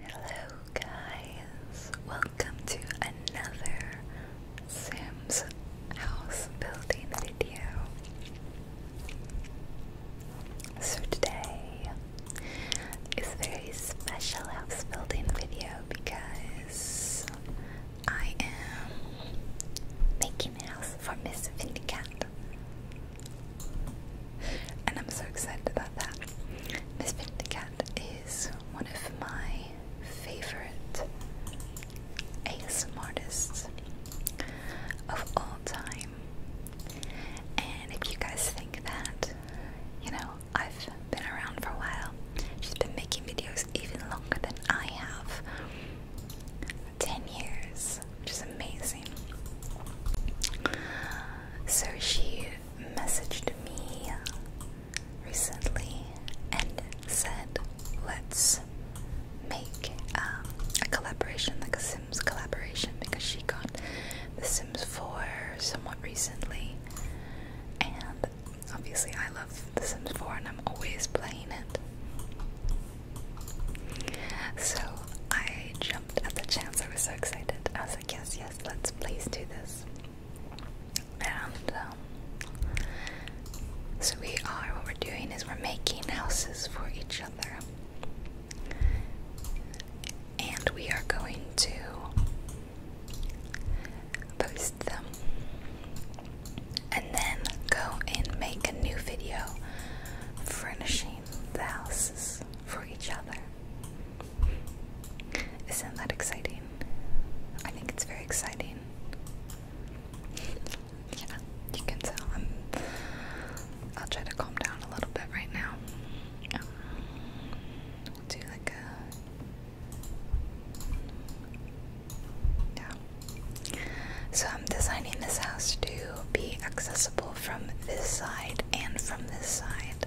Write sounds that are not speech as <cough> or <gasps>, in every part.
Hello guys, welcome to another Sims house building video. So today is a very special house building video because I am making a house for Miss Vindicat and I'm so excited about that. Miss Pink Cat is one of my favorite ASM artists of all time. And if you guys think that, you know, I've been around for a while, she's been making videos even longer than I have 10 years, which is amazing. So she messaged me recently and said, let's make um, a collaboration, like a Sims collaboration, because she got The Sims 4 somewhat recently. And obviously, I love The Sims 4 and I'm always playing it. So I jumped at the chance, I was so excited. I was yes, yes, let's please do this. And um, so we are, what we're doing is we're making houses for each other. And we are going to post them and then go and make a new video furnishing the houses for each other. Isn't that exciting? I think it's very exciting. yeah, you can tell. I'm, I'll try to calm down a little bit right now. Um, do like a. Yeah. So I'm designing this house to be accessible from this side and from this side.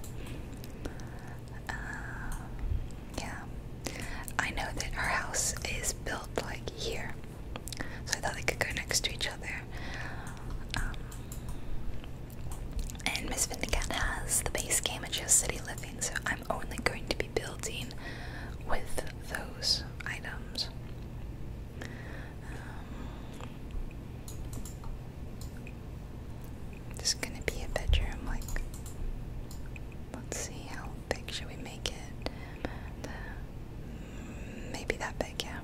Uh, yeah, I know that our house is built like here, so I thought they could go next to each other. Um, and Miss Vindicat has the base game of she City Living, so I'm only going to be building with those items. Um, this is gonna be a bedroom, like, let's see how big should we make it? Maybe that big, yeah.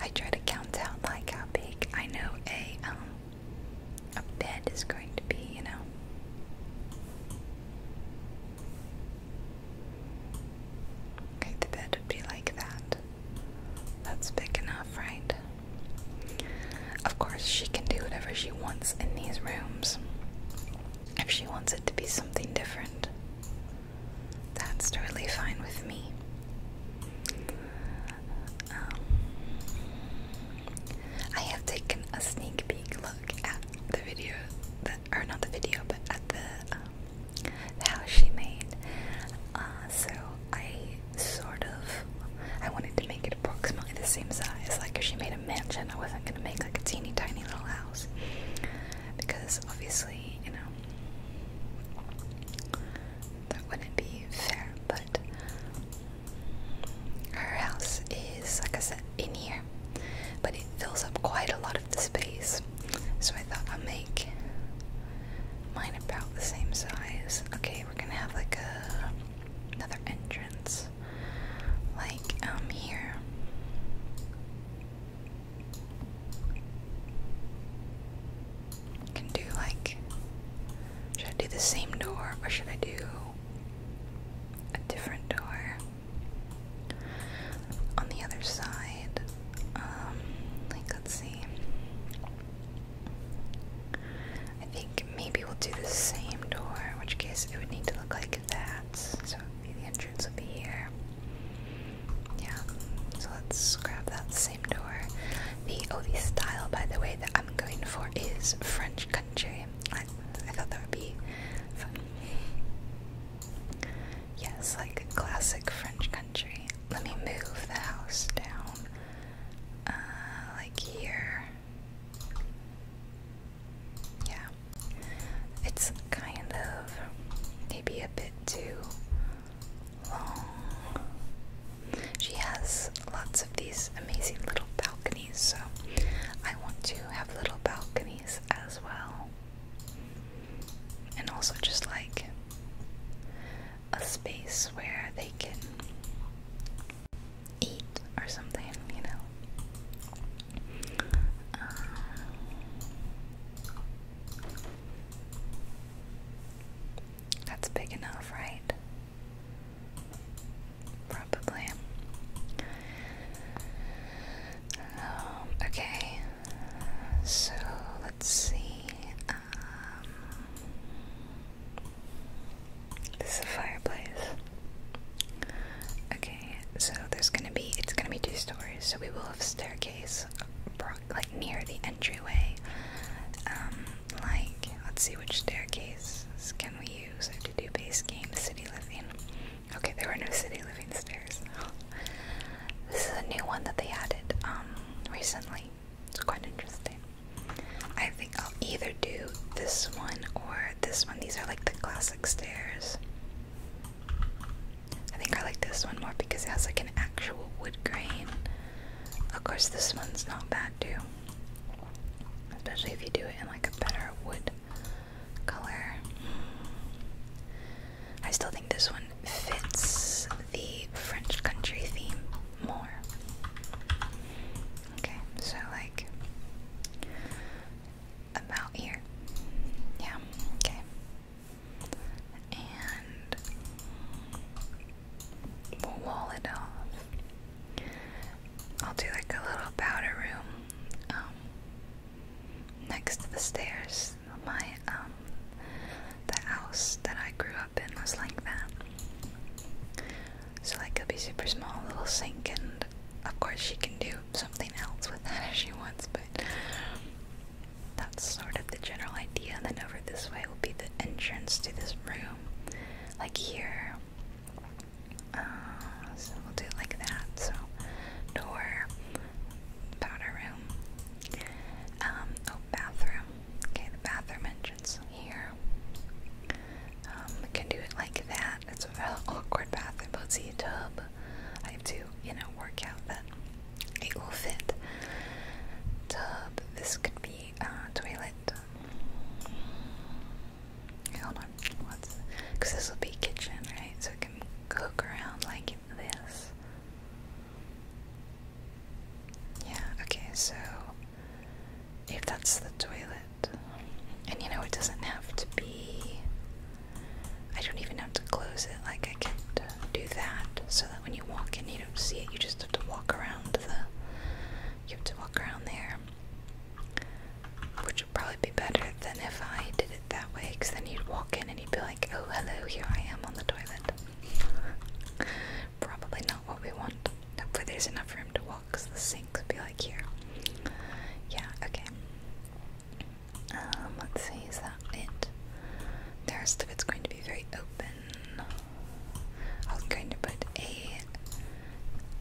I try to count out like how big I know a um a bed is going to be, you know. Okay, the bed would be like that. That's big enough, right? Of course, she can do whatever she wants in these rooms. If she wants it to be something different, that's totally fine with me. Um, I have taken a sneak peek look at the video or not the video, but at the um, how she made. Uh, so I sort of I wanted to make it approximately the same size. Like if she made a mansion, I wasn't gonna make like a teeny tiny little house because obviously you know that wouldn't be fair. But her house is like I said in here, but it fills up quite a lot of the space. So I thought I'll make Mine about the same size. Okay, we're gonna have like a another entrance. Like um here. Can do like should I do the same door or should I do a different door? On the other side, um, like let's see. I think maybe we'll do the same door, in which case it would need to look like that. So the entrance would be here. Yeah. So let's grab that same door. The oh style by the way that I'm going for is French country. I, thought that would be fun. Yes, like classic French country. Let me move the house down, uh, like here. Yeah, it's kind of maybe a bit too long. She has lots of these amazing little balconies, so I want to have little balconies as well. And also, just like a space where they can eat or something, you know. Um, that's big enough, right? Probably. Um, okay, so let's see. Um, this is a fireplace. Okay, so there's gonna be it's gonna be two stories, so we will have staircase, like near the entryway. Um, like let's see which staircases can we use to do base game city living. Okay, there were no city living stairs. <gasps> this is a new one that they added um recently. It's quite interesting. I think I'll either do this one or this one. These are like the classic stairs. I think I like this one more because it has like an actual wood grain. Of course, this one's not bad too. Especially if you do it in like a better wood color. I still think this one fits the French country theme more. Okay, so like about here. Yeah, okay. And we'll wall it off. I'll do like a little powder room um, next to the stairs. My um, the house that I grew weapon was like that. So that could be super small, little sink, and of course she can do something else with that <laughs> if she wants, but that's sort of the general idea. And then over this way will be the entrance to this room, like here. Uh, so we'll do like that. So door, powder room, um, oh, bathroom. Okay, the bathroom entrance here. Um, I can do it like that. It's an <laughs> awkward bathroom, but see a tub. I have to, you know, work out that it will fit. Tub. This could be a uh, toilet. Hold on, what's? Because this will be kitchen, right? So it can cook around like this. Yeah, okay, so if that's the toilet, and you know, it doesn't have to be. I don't even have to close it, like, I can do that so that when you walk in, you don't see it, you just have to walk around the. You have to walk around there. Which would probably be better than if I did it that way, because then you'd walk in and you'd be like, oh hello, here I am on the toilet. Probably not what we want. Hopefully there's enough room to walk because the sink would be like here. Yeah, okay. Um, let's see, is that it? The rest of it's going to be very open. I am going to put a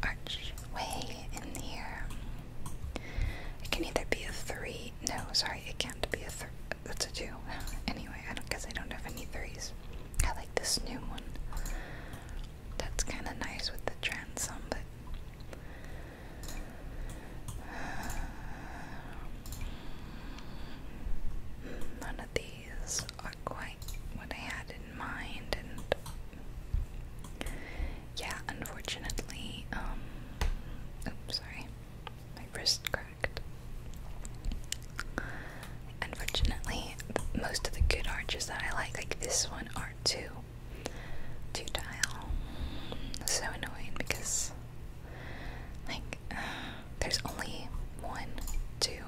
archway in here. It can either be a three. No, sorry, it can't be a, three that's a two. Anyway, I don't guess I don't have any threes. I like this new one. That's kind of nice with the transom, but. Uh, none of these are quite what I had in mind, and yeah, unfortunately, um, oops, sorry, my wrist Unfortunately, most of the good arches that I like, like this one, are two, two tile. So annoying because, like, <sighs> there's only one, two,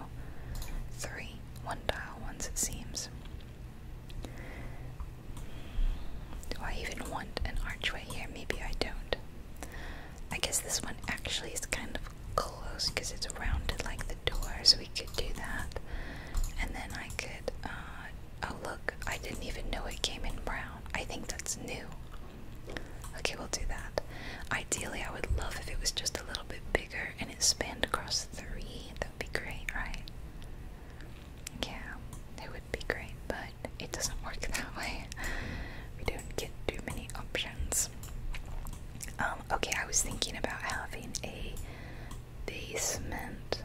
three, one tile ones it seems. Do I even want an archway here? Maybe I don't. I guess this one actually is kind of close because it's rounded like the door, so we could do that. And then I could, uh, oh look, I didn't even know it came in brown. I think that's new. Okay, we'll do that. Ideally, I would love if it was just a little bit bigger and it spanned across three. That would be great, right? Yeah, it would be great, but it doesn't work <laughs> that way we don't get too many options. Um, okay, I was thinking about having a basement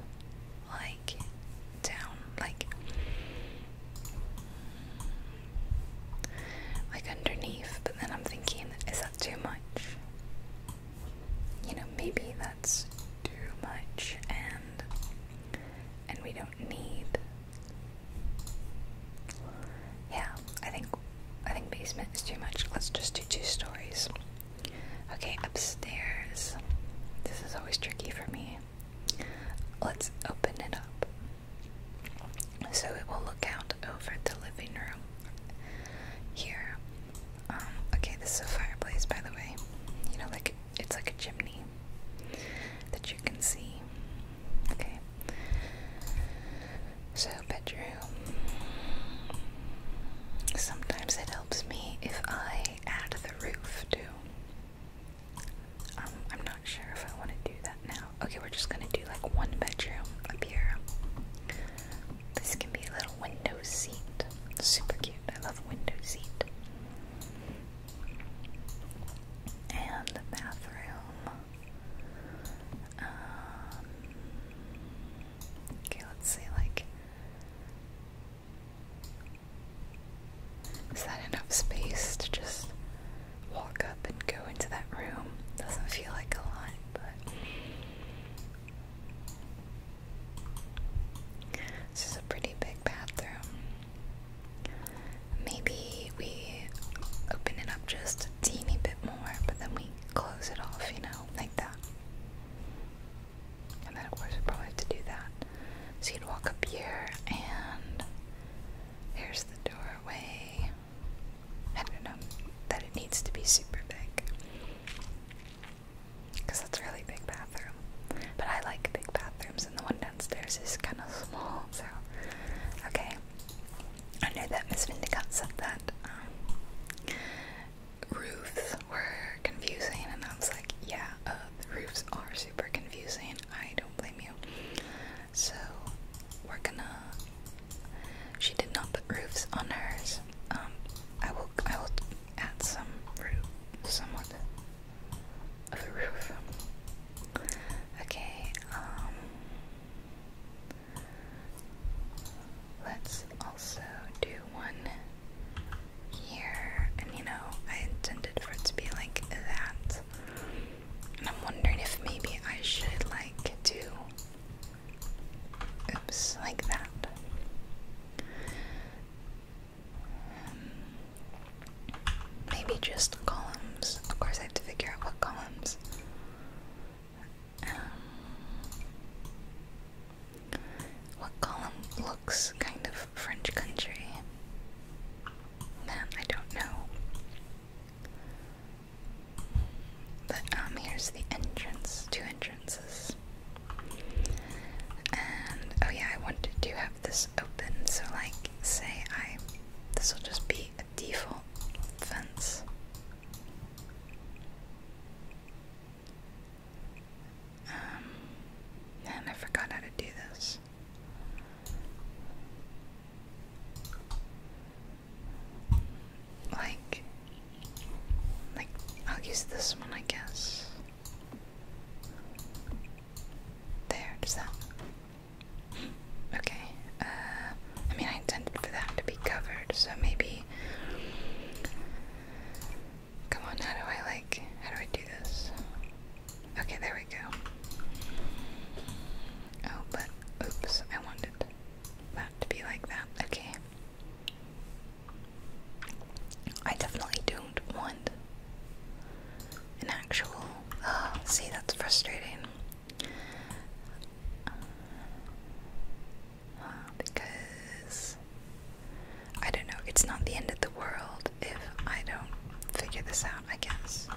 like down like like underneath, but then I'm thinking, is that too much? You know, maybe that's too much and and we don't need. Yeah, I think I think basement is too much. Let's just do two stories. Okay, upstairs. This is always tricky for me. Let's open it up. So it will look out over the living room here. Um, okay, this is a fireplace by the way. You know, like it's like a chimney that you can see. Okay. So, bedroom. Sometimes it helps me if I add the roof too. Um, I'm not sure if I want to do that now. Okay, we're just gonna do like one bedroom up here. This can be a little window seat. Super cute. I love window seat. And the bathroom. Um, okay, let's say like is that enough space to just walk up and go into that room? Doesn't feel like a lot, but this is a pretty big bathroom maybe we open it up just a teeny bit more, but then we close it off, you know, like that. And then, of course, we probably have to do that. So you'd walk up here, and there's the doorway. I don't know that it needs to be super big. Because that's a really big bathroom. But I like big bathrooms, and the one downstairs is kind of small, so. Okay, I know that Miss Vindicat said that um, roofs were confusing, and I was like, yeah, uh, the roofs are super confusing. I don't blame you. So, we're gonna. She did not put roofs on hers. Um, I will. I will add some roof, somewhat of a roof Okay, um, let's also do one here. And you know, I intended for it to be like that. And I'm wondering if maybe I should like do oops, like that. Um, Maybe just columns. Of course, I have to figure out what columns. Um, what column looks kind of French country? Man, I don't know. But um, here's the entrance, two entrances. And oh yeah, I wanted to have this open so like say I this will just be a default fence. Um, and I forgot how to do this. Like, like I'll use this one, I guess. There, does that Okay. Uh, I mean, I intended for that to be covered, so maybe. Come on, how do I like. How do I do this? Okay, there we go. Oh, but. Oops, I wanted that to be like that. Okay. I definitely don't want an actual. Oh, <gasps> see, that's frustrating because I don't know, it's not the end of the world if I don't figure this out, I guess.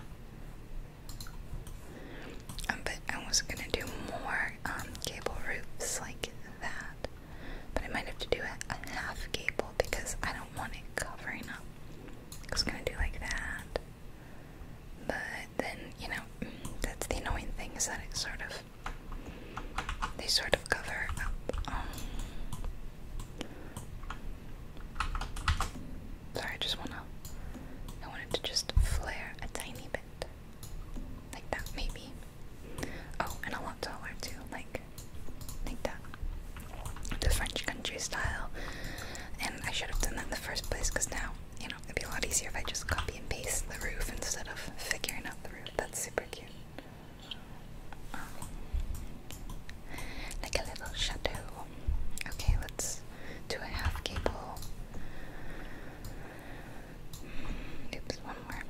Um, but I was gonna do more um, cable roofs like that, but I might have to do a, half gable because I don't want it covering up. I was gonna do like that. But then, you know, that's the annoying thing is that it sort of they sort of cover up. Um, sorry, I just wanna I wanted to just flare a tiny bit. Like that maybe. Oh, and a lot taller too, like like that the French country style. And I should have done that in the first place because now, you know, it'd be a lot easier if I just copy and paste the roof instead of figuring out the roof. That's super cute. Um, like a little chateau. Okay, let's do a half gable. Oops, one more.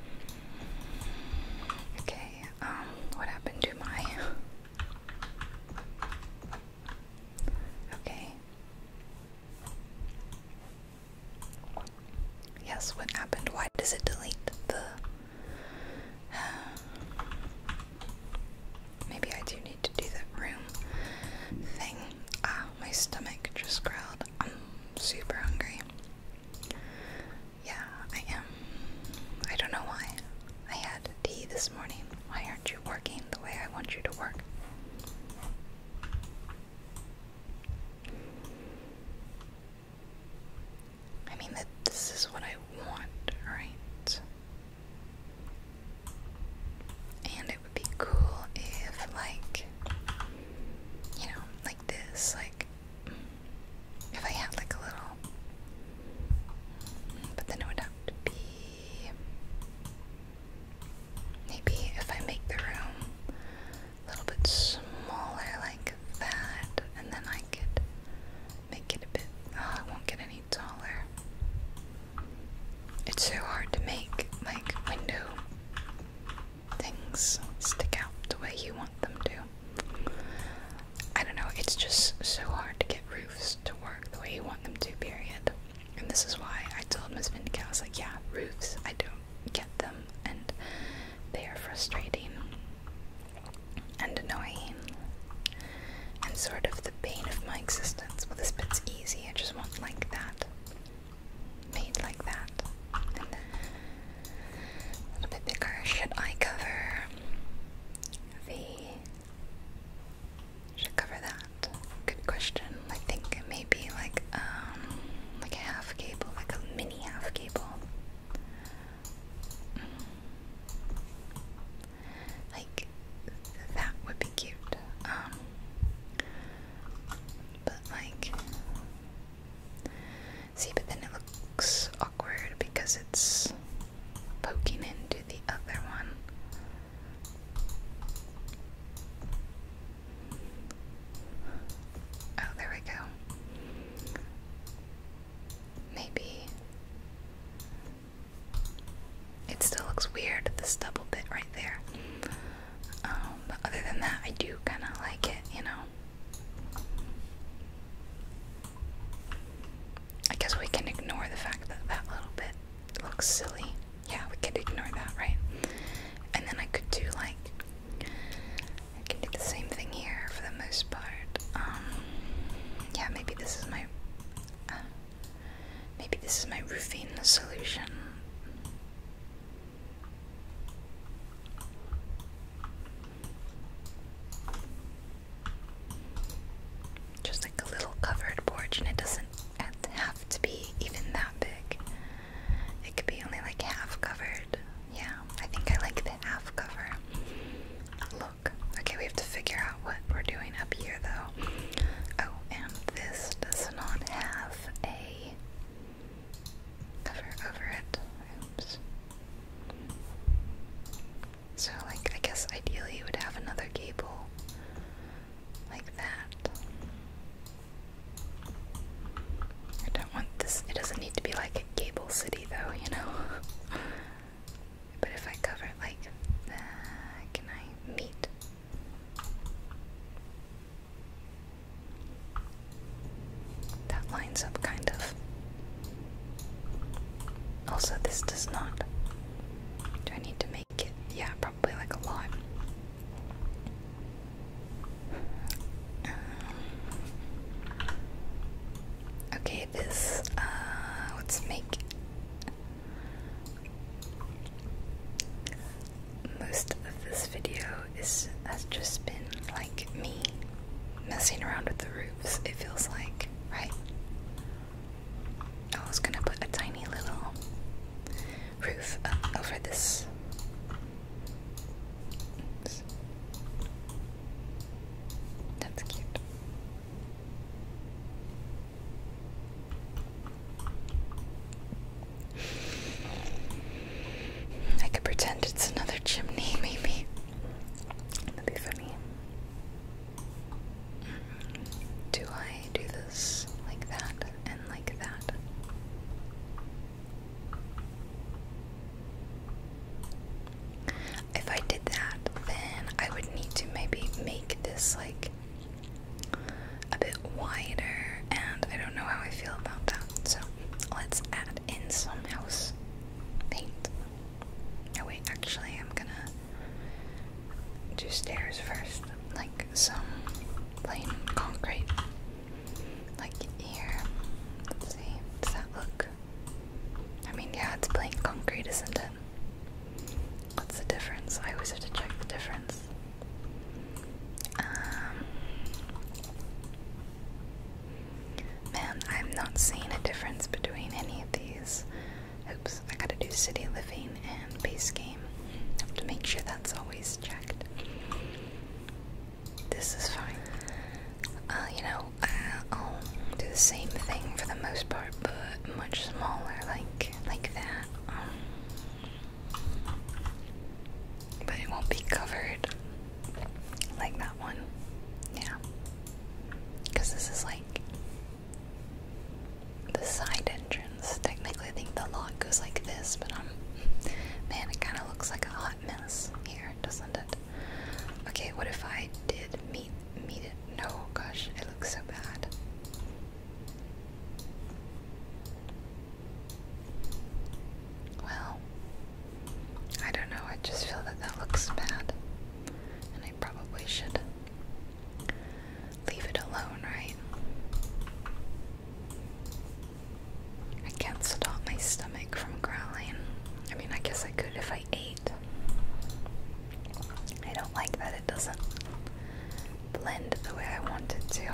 Okay, um, what happened to my <laughs> Okay. Yes, what happened? Why does it delete the. <sighs> Maybe I do need to do that room thing. Ah, my stomach just growled. I'm super hungry. Yeah, I am. I don't know why. I had tea this morning. Why aren't you? working the way I want you to work. I mean that this is what I want, right? And it would be cool if like you know, like this, like if I had like a little but then it would have to be maybe if I make the room a little bit smaller like that, and then I could make it a bit, oh, I won't get any taller. It's so hard to make, like, window things stick out the way you want them to. I don't know, it's just so hard to get roofs to work the way you want them to, period. And this is why I told Miss Vindicat, I was like, yeah, roofs, I don't get them, and they are frustrating and annoying and sort of the bane of my existence. Well, this bit's easy, I just want like that, made like that, a little bit bigger. Should I cover the should cover that. Good question. I think it may be um, like a half cable, like a mini half cable. Mm. Like that would be cute. Um, but like see but then it looks awkward because it's poking into the other one. Oh, there we go. Maybe it still looks weird, the stubble bit right there. Um, but other than that, I do kind of like it, you know. I guess we can ignore the fact that that little bit looks silly. Yeah, we can ignore that, right? And then I could do like I can do the same thing here for the most part. Um, yeah, maybe this is my uh, maybe this is my roofing solution. Just like a little covered porch, and it doesn't have to be even that big. It could be only like half covered. Yeah, I think I like the half cover look. Okay, we have to figure out what we're doing up here though. Oh, and this does not have a cover over it. Oops. So, like, I guess ideally you would have another gable like that. I don't want this, it doesn't need to be like a gable city though, you know? <laughs> but if I cover it like can I meet? That lines up kind of. Also, this does not. Do I need to make yeah, probably like a lot. Um, okay, this, uh, let's make most of this video is has just been like me messing around with the roofs, it feels like, right? I was gonna put a tiny little roof up over this. That's cute. I could pretend it's another chimney, <laughs> maybe. That'd be funny. Do I do this like that and like that? If I did that, then I would need to maybe make this like a bit wider, and I don't know how I feel about that. So let's add in some house paint. Oh, wait, actually, I'm gonna Two stairs first, like some plain concrete. Like here. see. Does that look? I mean, yeah, it's plain concrete, isn't it? What's the difference? I always have to check the difference. Um, man, I'm not seeing a difference between any of these. Oops, I gotta do city living and base game. Have to make sure that's always checked. This is fine. Uh, you know, uh, I'll do the same thing for the most part, but much smaller, like like that. Um, but it won't be covered like that one. Yeah, because this is like the side entrance. Technically, I think the lot goes like this, but I'm um, man, it kind of looks like a hot mess here, doesn't it? Okay, what if I did meet meet it? No, gosh, it looks so bad. Well, I don't know. I just feel that that looks bad, and I probably should leave it alone, right? I can't stop my stomach from growling. I mean, I guess I could if I ate. I don't like that it doesn't blend the way I want it to.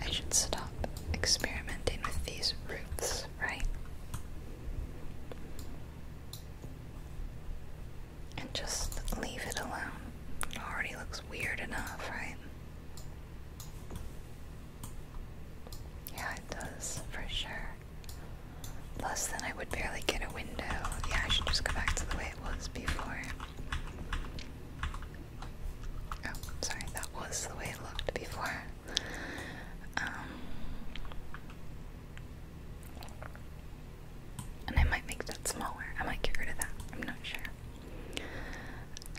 I should stop experimenting with these roots right? And just leave it alone. It already looks weird enough, right? Yeah, it does, for sure. Plus, then I would barely get a window. Yeah, I should just go back to the way it was before. Oh, sorry, that was the way it looked before. Um, and I might make that smaller. I might get rid of that. I'm not sure.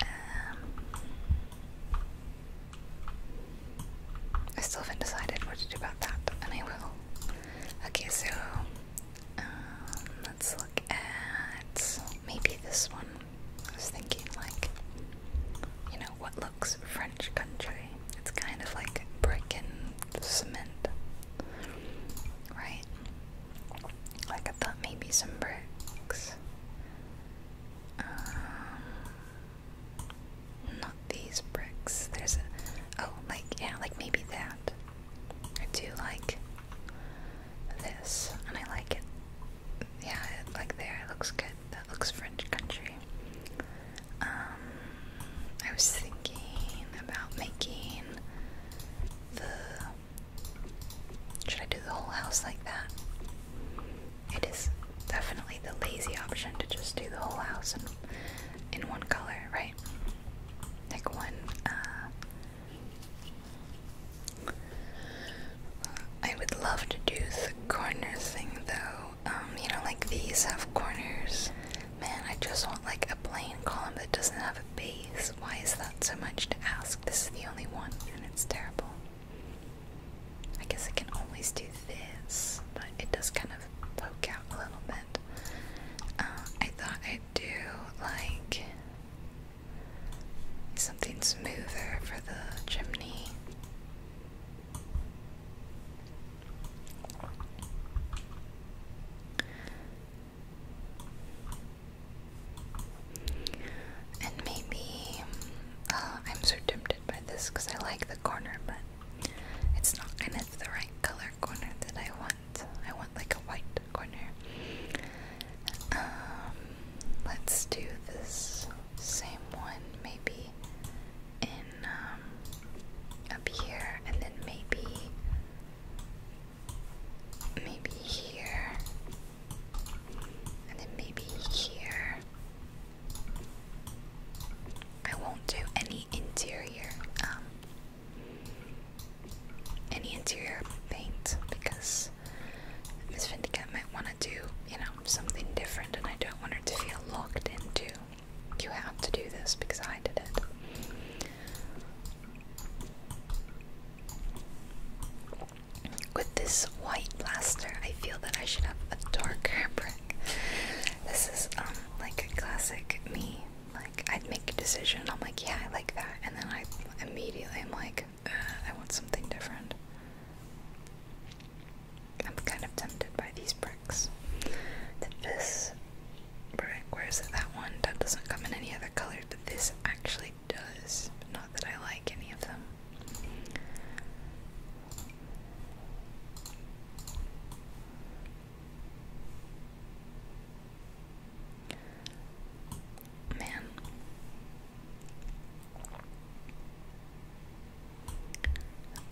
Um, I still haven't decided what to do about that, and I will. Okay, so um, let's look at maybe this one. I was thinking, like, you know, what looks French country? It's kind of like brick and cement, right? Like, I thought maybe some bricks. Um, not these bricks. There's a. Oh, like, yeah, like maybe that. I do like this, and I like it. Yeah, like there, it looks good that looks French country. Um, I was thinking about making the. Should I do the whole house like that? It is definitely the lazy option to just do the whole house in, one color, right? Like one, uh, I would love to do the corners thing though. Um, you know, like these have corners. Man, I just want like a plain column that doesn't have a base. Why is that so much to ask? This is the only one, and it's terrible. I guess I can always do this, but it does kind of poke out a little bit. Uh, I thought I'd do like something smoother for the chimney. And maybe uh, I'm so tempted by this because I like the corner, but it's not and it's the right color corner that I want. I want like a white corner. Um, let's do this same one maybe in um, up here and then maybe maybe here and then maybe here I won't do any interior um any interior paint because Miss Vindicat might want to do, you know, something different, and I don't want her to feel locked into. You have to do this because I did it. With this white blaster, I feel that I should have a darker brick. This is um like a classic me. Like I'd make a decision, I'm like, yeah, I like that, and then I immediately am like, uh, I want something different. I'm kind of tempted by these bricks. this brick, where is it? That one that doesn't come in any other colors, but this actually does. Not that I like any of them. Man,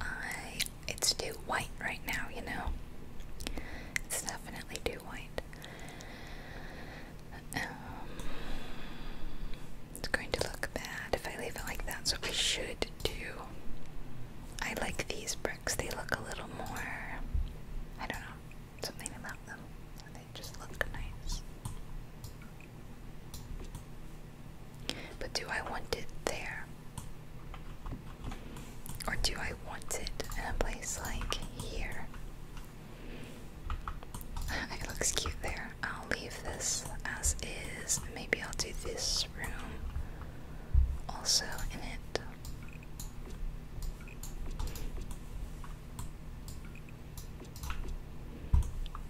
I it's too white right now, you know. It's definitely too white. Um, it's going to look bad if I leave it like that, so I should do. I like these bricks, they look a little more. I don't know, something about them. They just look nice. But do I want it there? Or do I want it in a place like here? <laughs> it looks cute there. I'll leave this as is. Maybe I'll do this room also in it.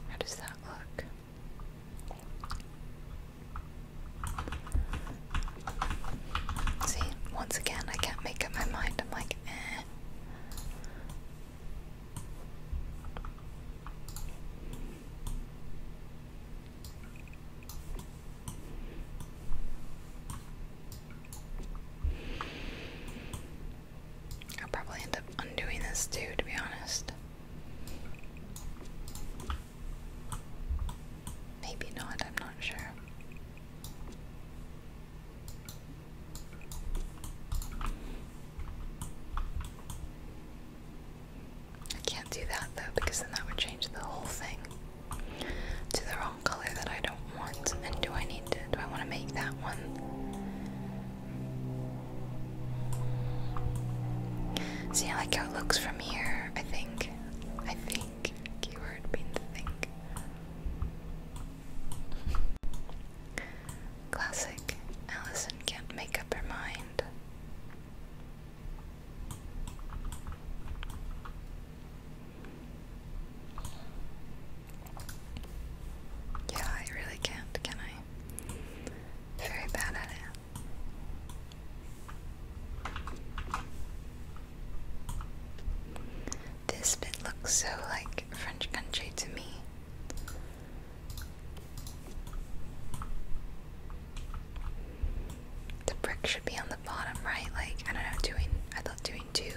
How does that look? See, once again, I can't make up my mind. I'm like, eh. I'll probably end up undoing this too, to be honest. Maybe not, I'm not sure. I can't do that though, because then that would change the whole thing to the wrong color that I don't want. And do I need to, do I want to make that one See, I like how it looks from here, I think. I think. Keyword means think. Classic. Allison can't make up her mind. Yeah, I really can't, can I? Very bad at it. This bit looks so like French country to me. The brick should be on the bottom, right? Like I don't know, doing I thought doing two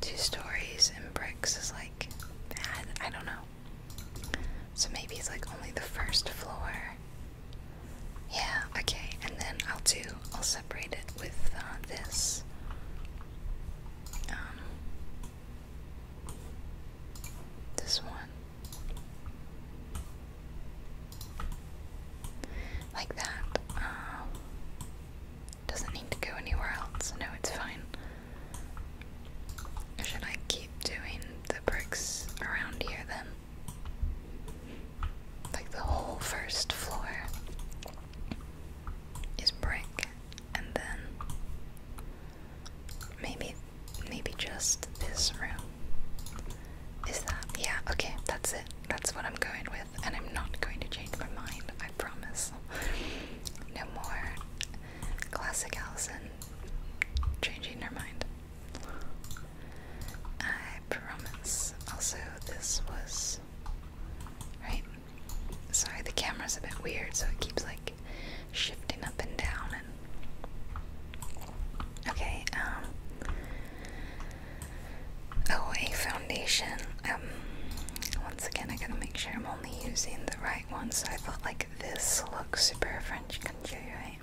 two stories and bricks is like bad. I don't know. So maybe it's like only the first floor. Yeah, okay, and then I'll do, I'll separate it with uh, this. Um, this one. Like that. Um, doesn't need to go anywhere else. No, it's fine. Or should I keep doing the bricks around here then? Like the whole first floor is brick, and then maybe, maybe just this room. Is that? Yeah, okay, that's it. That's what I'm going with, and I'm not going to change my mind, I promise. No more Classic Allison changing her mind. I promise. Also, this was. Right? Sorry, the camera's a bit weird, so it keeps like shifting up and down and. Okay, um. Oh, a foundation. Um, once again, I gotta make sure I'm only using the right one, so I thought like this looks super French country, right?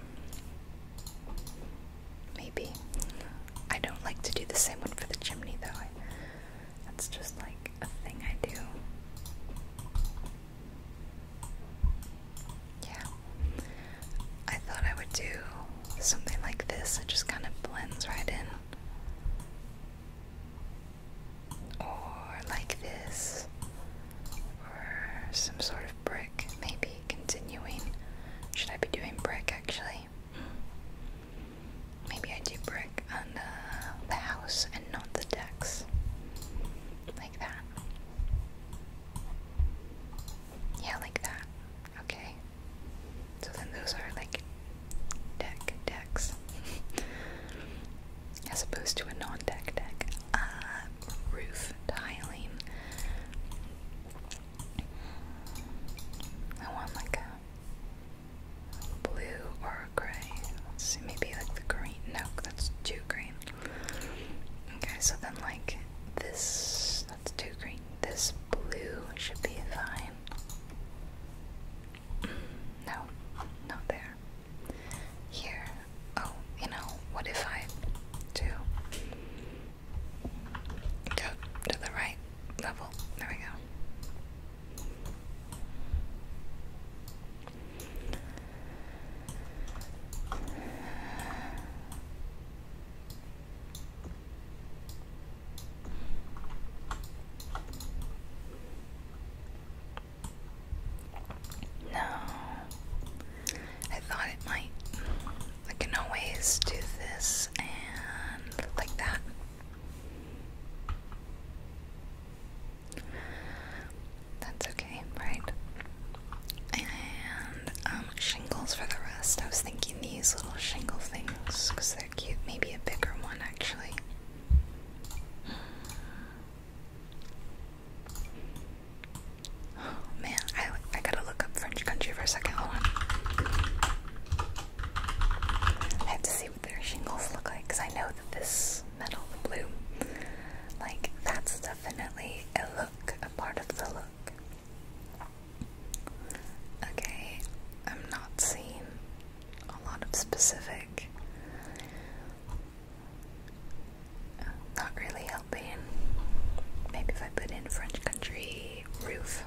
Maybe. I don't like to do the same one for the chimney though. I, just like a thing I do. Yeah. I thought I would do something like this. It just kind of blends right in or like this, or some sort of brick, maybe continuing. Should I be doing brick actually? Maybe I do brick on the house and not the decks. Like that. Yeah, like that. Okay. So then those are like deck decks. <laughs> as opposed to a non-deck deck. Uh, roof tiling. I want like a blue or a gray. Let's see, maybe like the green. No, that's too green. Okay, so then like this, that's too green. This blue should be fine. No, not there. Here. Oh, you know, what if I do go to the right level? There we go. No. I thought it might. I can always do this and like that. That's okay, right? And um, shingles for the rest. I was thinking these little shingle things because they're cute. Maybe a bigger one actually. Oh man, I I gotta look up French country for a second. Hold on. I have to see what their shingles look like because I know that this metal, blue, like that's definitely a look, a part of the look. Okay, I'm not seeing a lot of specific not really helping. Maybe if I put in French country roof.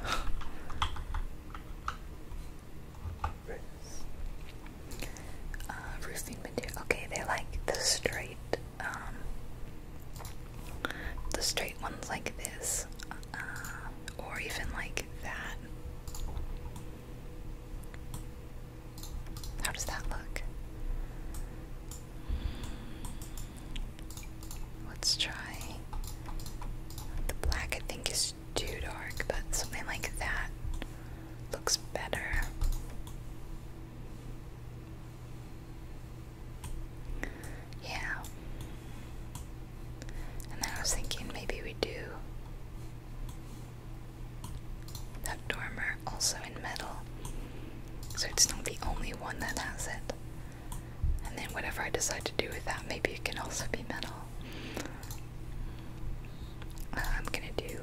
Uh, roofing material. Okay, they like the straight, um, the straight ones like this, uh, or even like that. How does that look? Let's try. The black, I think, is too dark, but something like that looks better. Yeah. And then I was thinking maybe we do that dormer also in metal. So it's not the only one that has it. And then whatever I decide to do with that, maybe it can also be metal. Uh, I'm gonna do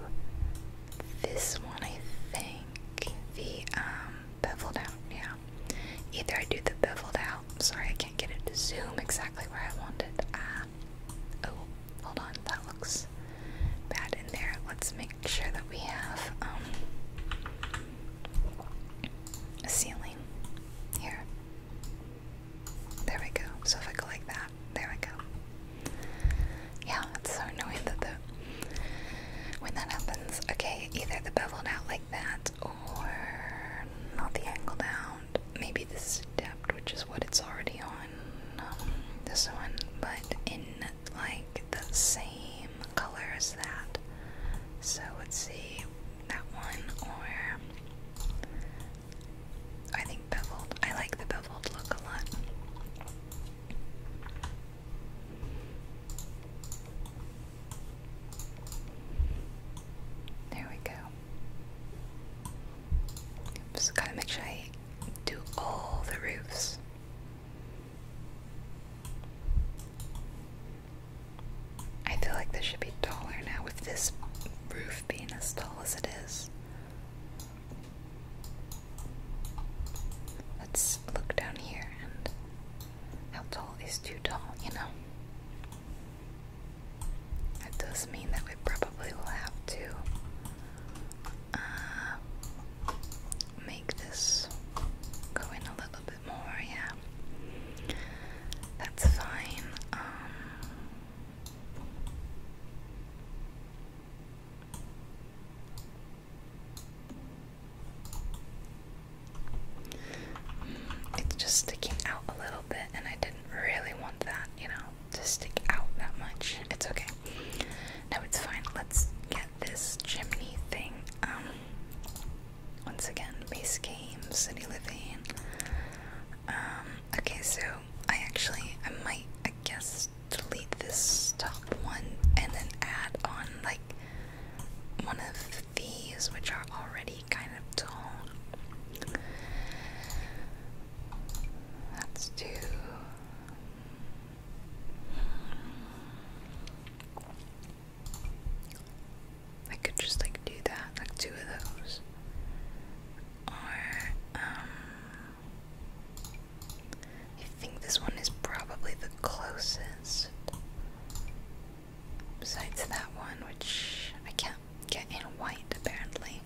this one, I think. The um, beveled out, yeah. Either I do the beveled out, sorry I can't get it to zoom exactly where I want it. Oh, hold on, that looks bad in there. Let's make sure that we have um, a ceiling here. There we go. So if I go like that, there we go. Yeah, it's so annoying that the when that happens, okay, either the beveled out like that or not the angled out. Maybe this is which is what it's already on. Um, this one, but in like the same color as that. So let's see that one or I think beveled. I like the beveled look a lot. There we go gotta make sure I do all the roofs. I feel like this should be taller now with this roof being as tall as it is. Let's look down here and how tall is too tall, you know? That does mean that we probably will have to uh, make this go in a little bit more, yeah. That's fine. Um, mm, it's just sticking out a little bit, and I didn't really want that, you know to stick out that much. It's okay. No, it's fine. Let's get this chimney thing. Um, once again, base game, city Levine. Um, okay, so I actually, I might, I guess, delete this top one and then add on like one of these, which are already kind of tall. That's us I could just like do that, like two of those. Or, um. I think this one is probably the closest. Besides that one, which I can't get in white apparently.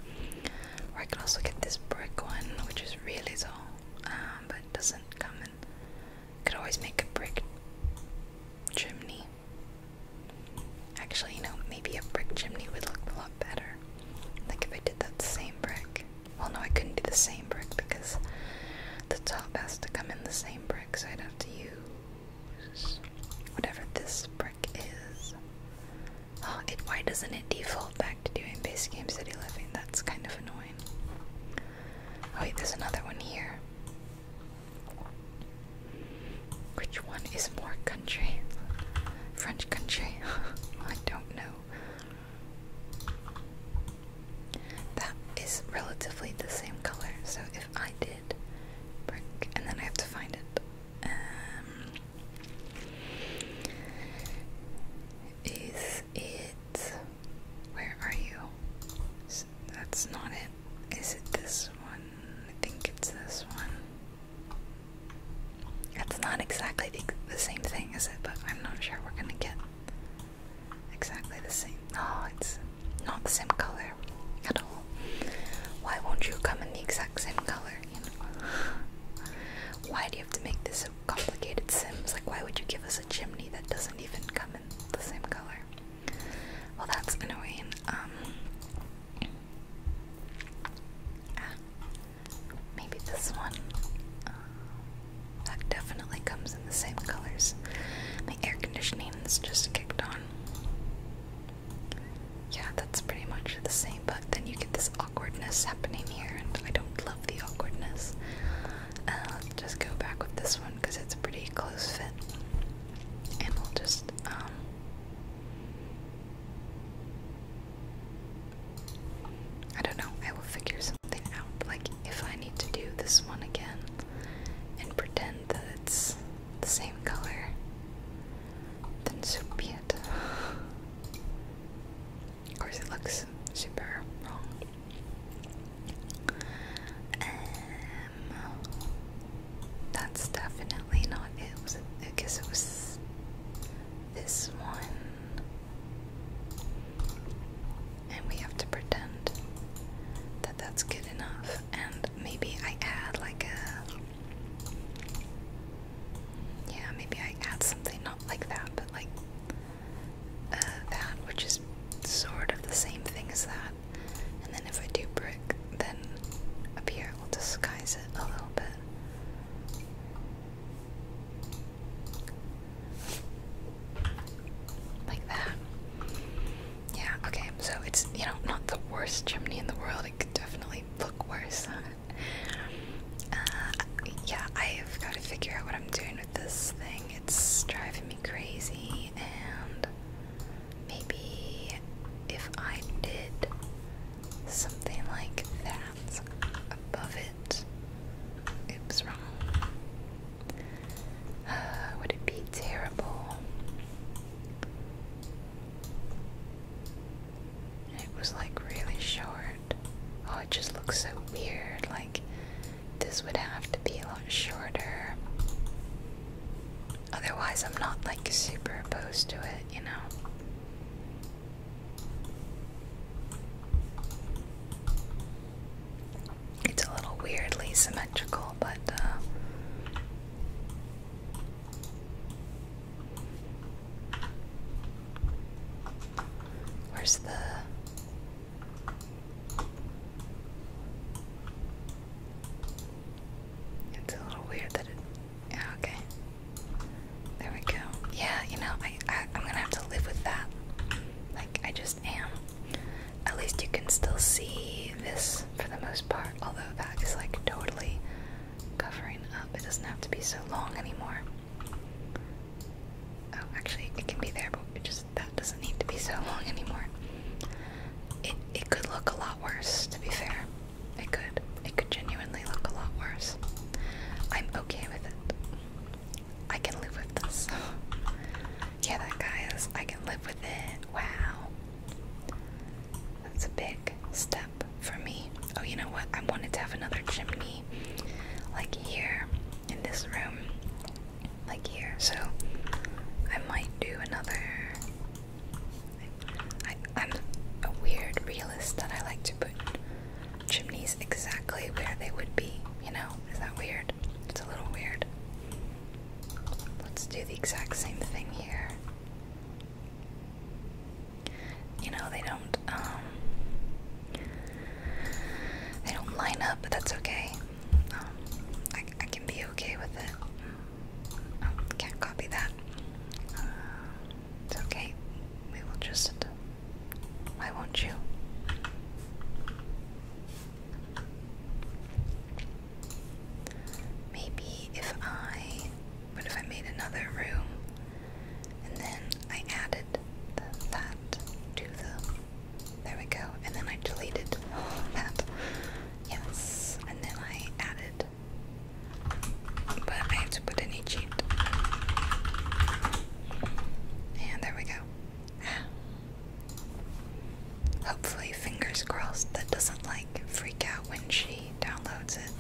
Or I can also get this brick one, which is really tall, um, but it doesn't come in. Could always make a brick chimney. Actually, you know, maybe a brick chimney would look a lot better. Like if I did that same brick. Well, no, I couldn't do the same brick because the top has to come in the same brick, so I'd have to use whatever this brick is. <gasps> why doesn't it default back to doing base game city living? That's kind of annoying. Oh, wait, there's another one here. Which one is more country? French country? <laughs> I don't know. That is relatively the same color, so if I did and then I have to find it. Um, is it. Where are you? that's not it. Is it this one? I think it's this one. That's not exactly the, same thing, is it? But I'm not sure we're gonna get exactly the same. Oh, it's not the same color at all. Why won't you come in the exact same color? Why do you have to make this so complicated, Sims? Like, why would you give us a chimney that doesn't even come in the same color? Well, that's annoying. Um, ah, maybe this one. Uh, that definitely comes in the same colors. My air conditioning is just kicked on. Yeah, that's pretty much the same, but then you get this awkwardness happening here, and I don't love the awkwardness. Uh, just go back with this one because it's pretty close fit. And we'll just, um, I don't know, I will figure something out. Like, if I need to do this one again and pretend that it's the same color then soup be it. Of course, it looks super wrong. Um, that's definitely not it. Was it? I guess it was this one, and we have to pretend that that's good enough. And maybe I add like a yeah, maybe I add something not like that, but like uh, that, which is sort of the same thing as that. And then if I do brick, then up here we'll disguise it a little bit. Like that. Yeah, okay, so it's, you know, not the worst chimney in the world. It could definitely look worse. Uh, yeah, I've got to figure out what I'm doing with this thing. It's driving me crazy, and maybe if I did something like that above it, oops, wrong. Uh, would it be terrible? It was like really short. Oh, it just looks so weird. Like this would have to be a lot shorter. Otherwise, I'm not like super opposed to it, you know. It's a little weirdly symmetrical, but uh, Where's the It's a little weird that it yeah, okay. There we go. Yeah, you know, I, I I'm gonna have to live with that. Like I just am. At least you can still see this for the most part, although that is like totally covering up. It doesn't have to be so long anymore. Oh, actually, it can be there, but just that doesn't need to be so long anymore. It it could look a lot worse, to be fair. It could. It could genuinely look a lot worse. I'm okay with it. I can live with this. <laughs> yeah, that guy is. I can live with it. Wow. That's a big step for me. Oh, you know what? I wanted to have another chimney like here in this room, like here. So I might do another. I, I'm a weird realist that I like to put chimneys exactly where they would be. You know, is that weird? It's a little weird. Let's do the exact same thing here you know they don't um, they don't line up but that's okay um, I, can be okay with it um, can't copy that uh, it's okay we will just why won't you maybe if I but if I made another room and then I added that to the. There we go. And then I deleted <gasps> that. Yes. And then I added. But I have to put in a cheat. And there we go. <sighs> Hopefully, fingers crossed, that doesn't like freak out when she downloads it.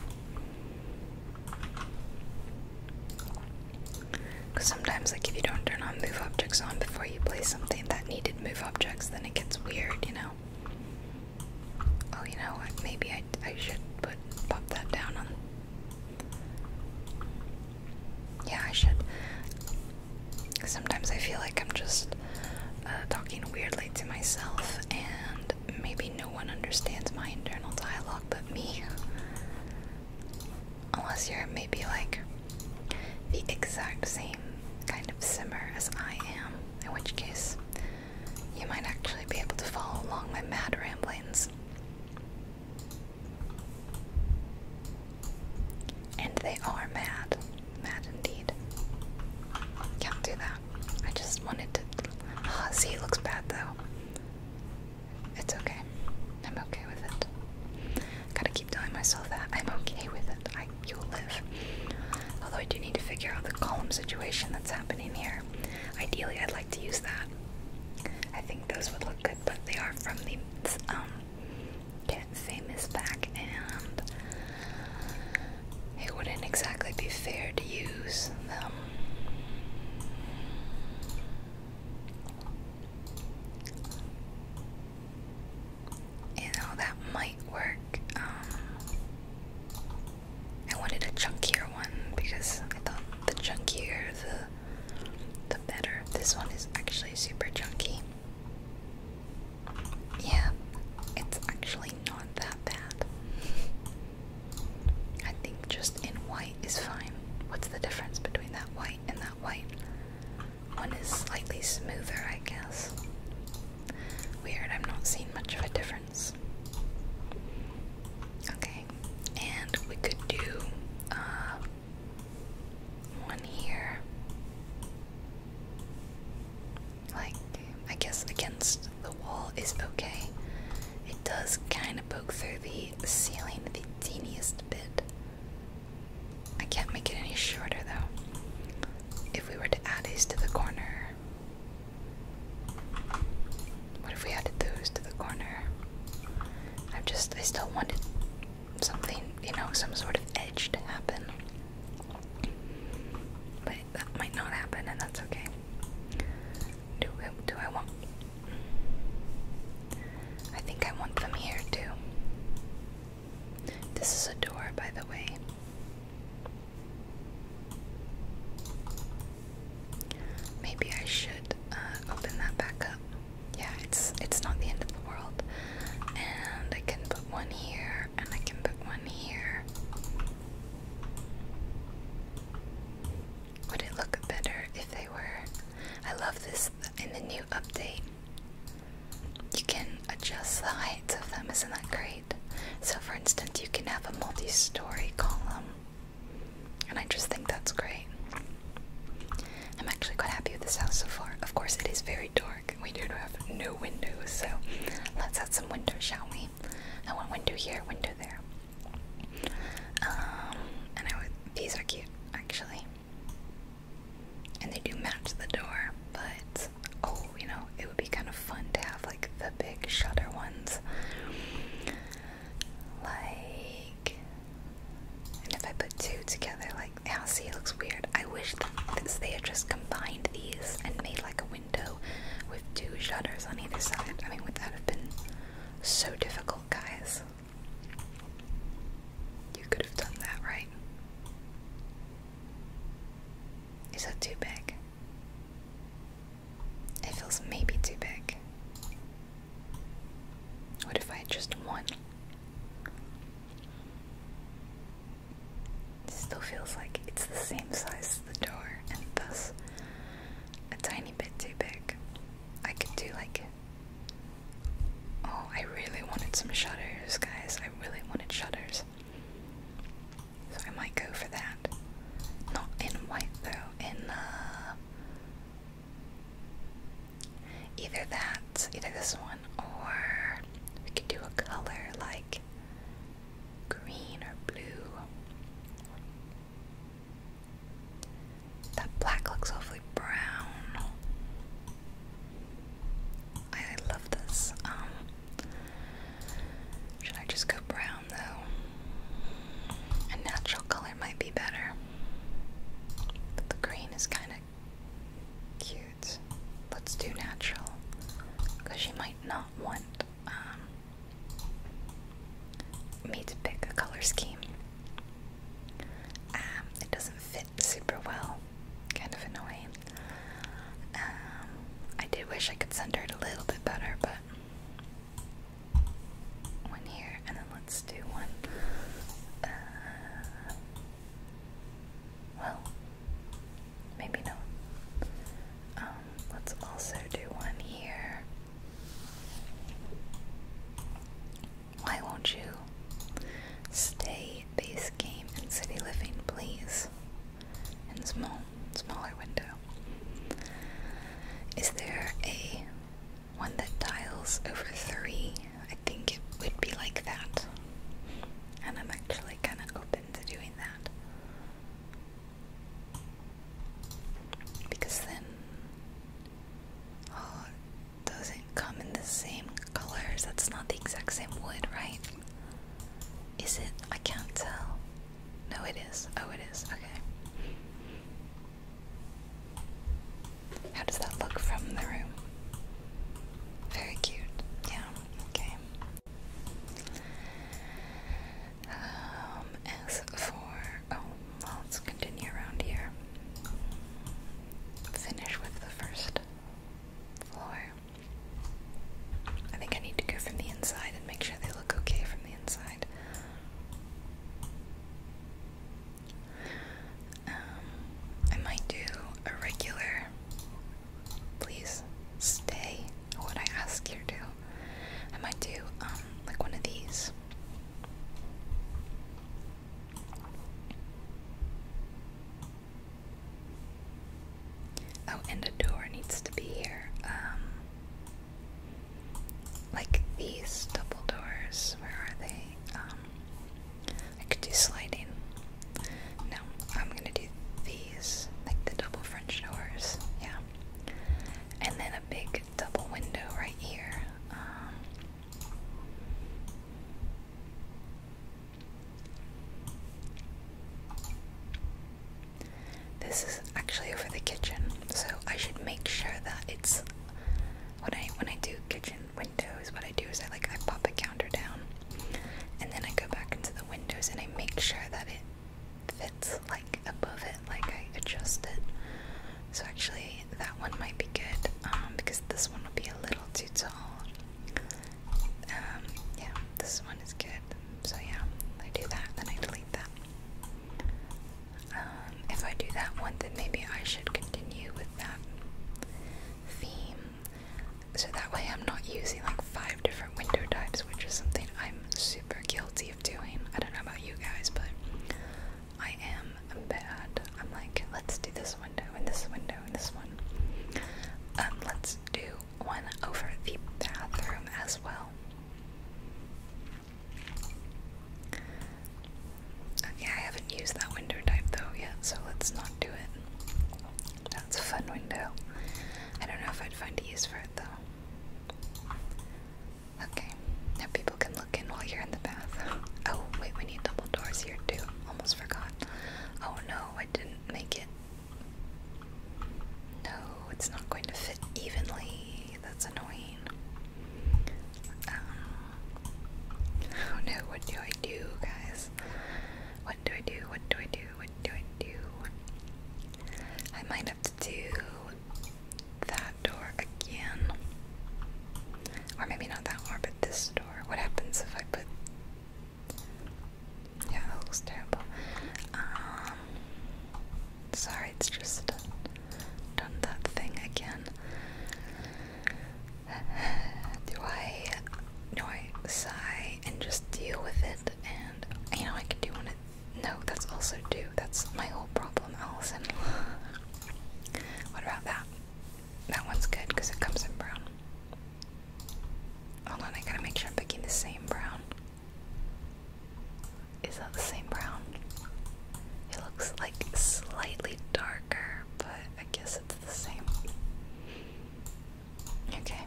Because sometimes, like, if you don't turn on move objects on before you play something that needed move objects, then it gets weird, you know? Oh, you know Maybe I, I should put pop that down on. Yeah, I should. Sometimes I feel like I'm just uh, talking weirdly to myself and maybe no one understands my internal dialogue but me. Unless you're maybe like the exact same kind of simmer as I am, in which case you might actually be able to follow along my mad ramblings. And they are mad. Mad indeed. Can't do that. I just wanted to. Ah, see, it looks bad though. It's okay. I'm okay with it. Gotta keep telling myself that I'm okay with it. I, you'll live. Although I do need to figure out the column situation that's happening here. Ideally, I'd like to use that. I think those would look good, but they are from the um, Famous back, and it wouldn't exactly be fair to use them. You know, that might work. Um, I wanted a chunkier one because I thought the chunkier the, the better. This one is actually super chunky. Yeah, it's actually not that bad. <laughs> I think just in white is fine. What's the difference between that white and that white? One is slightly smoother, I guess. Weird, I'm not seeing much of a difference. Okay, and we could do uh, one here. Like I guess against the wall is okay. It does kind of poke through the ceiling the teeniest bit. I can't make it any shorter though. If we were to add these to the corner, what if we added those to the corner? I just, I still wanted something, you know, some sort of edge to happen. But that might not happen, and that's okay. Do do I want? I think I want them here too. This is a door, by the way. Maybe I should uh, open that back up. Yeah, it's it's not the end of the world. And I can put one here, and I can put one here. Would it look better if they were? I love this in the new update. You can adjust the heights of them, isn't that great? So, for instance, you can have a multi story column, and I just think that's great. I'm actually quite happy with this house so far. Of course, it is very dark, we do have no windows, so let's add some windows, shall we? I want window here, window there. Um, and I would, these are cute actually. And they do match the door, but oh, you know, it would be kind of fun to have like the big shutter ones. Like, and if I put two together, like, i now see, it looks weird. I wish they had just combined these and made like a window with two shutters on either side. I mean, would that have been so difficult, guys? You could have done that, right? Is that too big? It feels maybe too big. What if I just one? still feels like it's the same size as the door, and thus a tiny bit too big. I could do like. Oh, I really wanted some shutters, guys. I really wanted shutters. So I might go for that. Not in white though, in uh, either that, either this one, or we could do a color like green or blue. That black looks awfully brown. I love this. Um, should I just go brown though? A natural color might be better. the green is kind of cute. Let's do natural because she might not want um, me to pick a color scheme. Um, it doesn't fit super well, kind of annoying. Um, I did wish I could center it a little bit better, but one here, and then let's do one. Uh, well, maybe not. Um, let's also do one here. Why won't you stay base game and city living, please? And small, smaller window. Is there a one that tiles over three? I think it would be like that. And I'm actually kind of open to doing that. Because then oh doesn't come in the same colors. That's not the exact same wood, right? Is it? I can't tell. No it is. Oh it is. Okay. How does that look from the room? Very cute. Yeah, okay. Um, as for oh, well, let's continue around here. Finish with the first floor. I think I need to go from the inside and make sure they look okay from the inside. Um, I might do a regular. Please stay what I ask here too. I might do um like one of these. Oh, and a door needs to be here. Um like these double doors, where are they? Um I could do sliding. No, I'm gonna do these, like the double French doors. Yeah and then a big double window right here. Um, this is actually over the kitchen, so I should make sure that it's when I when I do kitchen windows. What I do is I like I pop a counter down, and then I go back into the windows and I make sure that it fits like above it, like I adjust it. So actually, that one might be good um, because this one will be a little too tall. Um, yeah, this one is good. So yeah, I do that, then I delete that. Um, if I do that one, then maybe I should continue with that theme. So that way, I'm not using like five different window types, which is something I'm super guilty of doing. I don't know about you guys, but I am a bad. I'm like, let's do this window and this window and this one. Um, let's do one over the bathroom as well. Yeah, I haven't used that window type though yet, so let's not do it. That's a fun window. I don't know if I'd find a use for it though. Okay, now people can look in while you're in the bath. <laughs> Oh, wait, we need double doors here too. Almost forgot. Oh no, I didn't make it. No, it's not going to fit evenly. That's annoying. Um, oh no, what do I do, guys? What do I do? What do I do? What do I do? I might have let's do that door again. Or maybe not that door, but this door. What happens if I put. Yeah, that looks terrible. Um, sorry, it's just done that thing again. <sighs> Do I, do I sigh and just deal with it? And you know, I could do one of no, that's also due. That's my whole problem, Allison. <laughs> what about that? That one's good because it comes in brown. Hold on, I gotta make sure I'm picking the same brown. Is that the same brown? It looks like slightly darker, but I guess it's the same. Okay,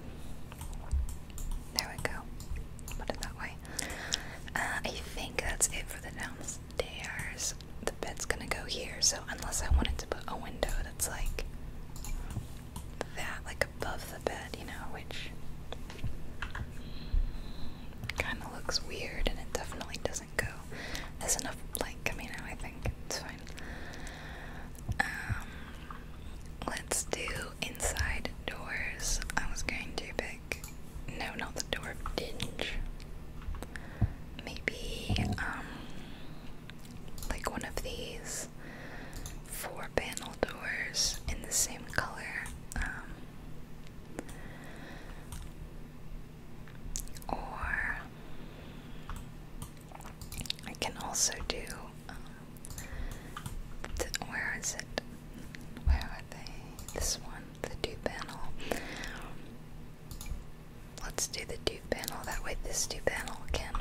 there we go. Put it that way. Uh, I think that's it for the downstairs. The bed's gonna go here, so unless I wanted to put a window that's like that, like above the bed, you know, which kind of looks weird and it definitely doesn't go. There's enough light coming out, I think. It's fine. Um, let's do inside doors. I was going to pick. No, not the door of Maybe, um, like one of these four panel doors in the same color. Um, or I can also do. Um, where is it? Where are they? This one, the two panel. Let's do the two panel. That way, this two panel can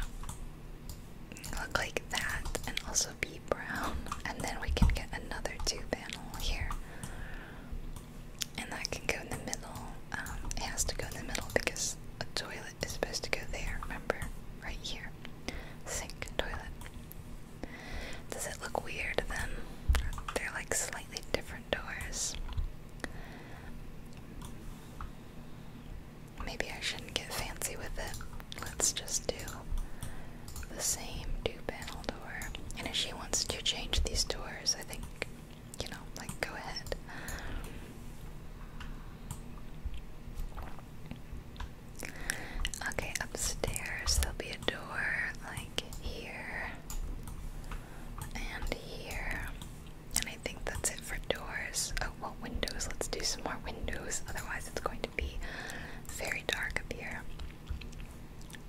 look like that and also be brown. And then we can get another two panel here. And that can go in the middle. Um, it has to go in the middle because a toilet is supposed to go there, remember? Right here. Sink, toilet. Does it look weird then? They're like slightly different doors. Maybe I shouldn't get fancy with it. Let's just do the same two panel door. And if she wants to change these doors, I think, you know, like go ahead. Okay, upstairs there'll be a door like here and here. And I think that's it for doors. Oh, well, windows. Let's do some more windows. Otherwise, it's going to be very dark up here.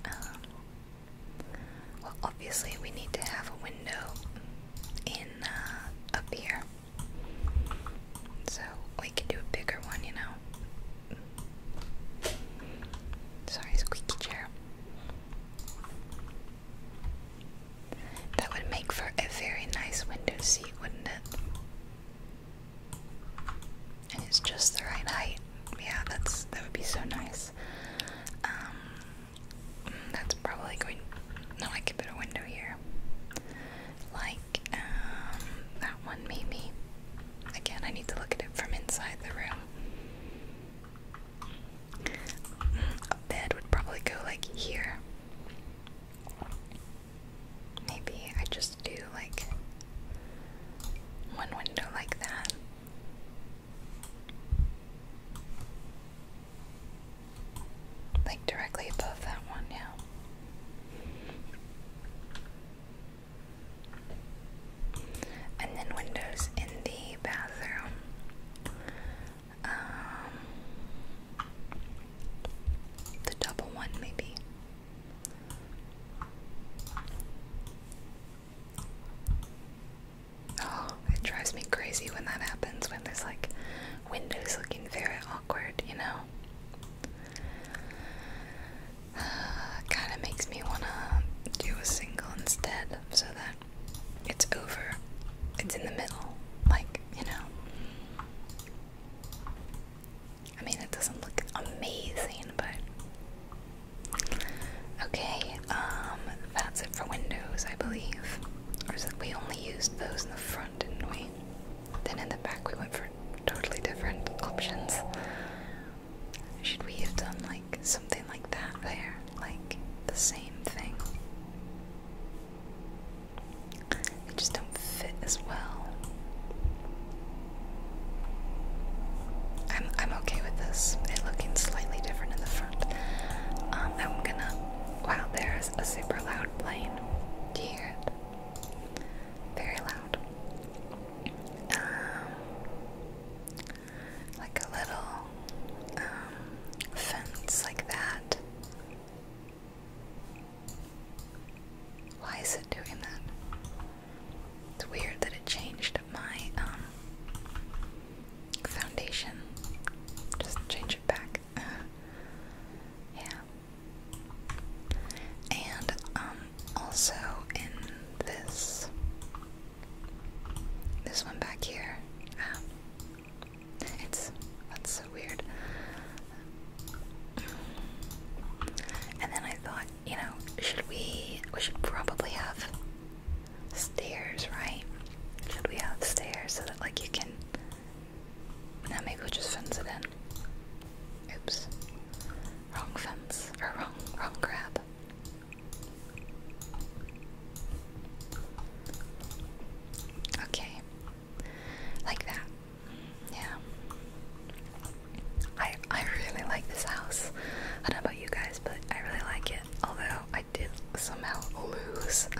Um, well, obviously, we need to have a window in uh, up here. So we can do a bigger one, you know. Sorry, squeaky chair. That would make for a very nice window seat, wouldn't it? And it's just the right height. Yeah, that's that would be so nice. Um, that's probably going. No, I could put a window here, like um, that one maybe. Again, I need to look at it from inside the room. A bed would probably go like here. Maybe I just do like one window like that. Like directly above that one, yeah and then windows in the bathroom. Um, the double one, maybe. Oh, it drives me crazy when that happens. When there's like windows looking very awkward, you know kind of makes me want to do a single instead so that it's over. It's in the middle. Like, you know. I mean, it doesn't look amazing, but. Okay, um, that's it for windows, I believe. Or is it we only used those in the front, didn't we? Then in the back we went for totally different options. Should we have done like something like that there? Like the same thing? They just don't fit as well. I'm I'm okay with this. It looking slightly different in the front. Um, I'm gonna. Wow, there's a super loud plane. Do you hear it? Very loud. Um, like a little um, fence like that. Why is it doing that? It's weird that it changed my um, foundation. Just change it back. <laughs> yeah. And um also in this this one back here. Um, it's that's so weird. And then I thought, you know, should we we should probably have stairs, right? Should we have stairs so that like you can now maybe we'll just fence it in. Oops. Wrong fence. Or wrong, wrong grab. Okay. Like that. Yeah. I I really like this house. I don't know about you guys, but I really like it. Although I did somehow lose. <laughs>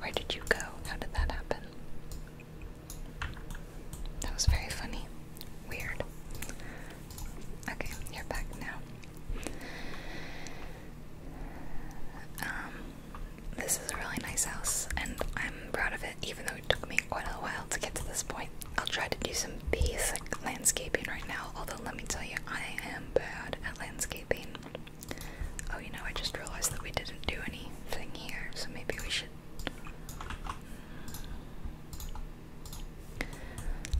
Where did you go? How did that happen? That was very funny. Weird. Okay, you're back now. Um, this is a really nice house, and I'm proud of it, even though it took me quite a while to get to this point. I'll try to do some basic landscaping right now, although let me tell you, I am bad at landscaping. Oh, you know, I just realized that we didn't do anything here, so maybe we should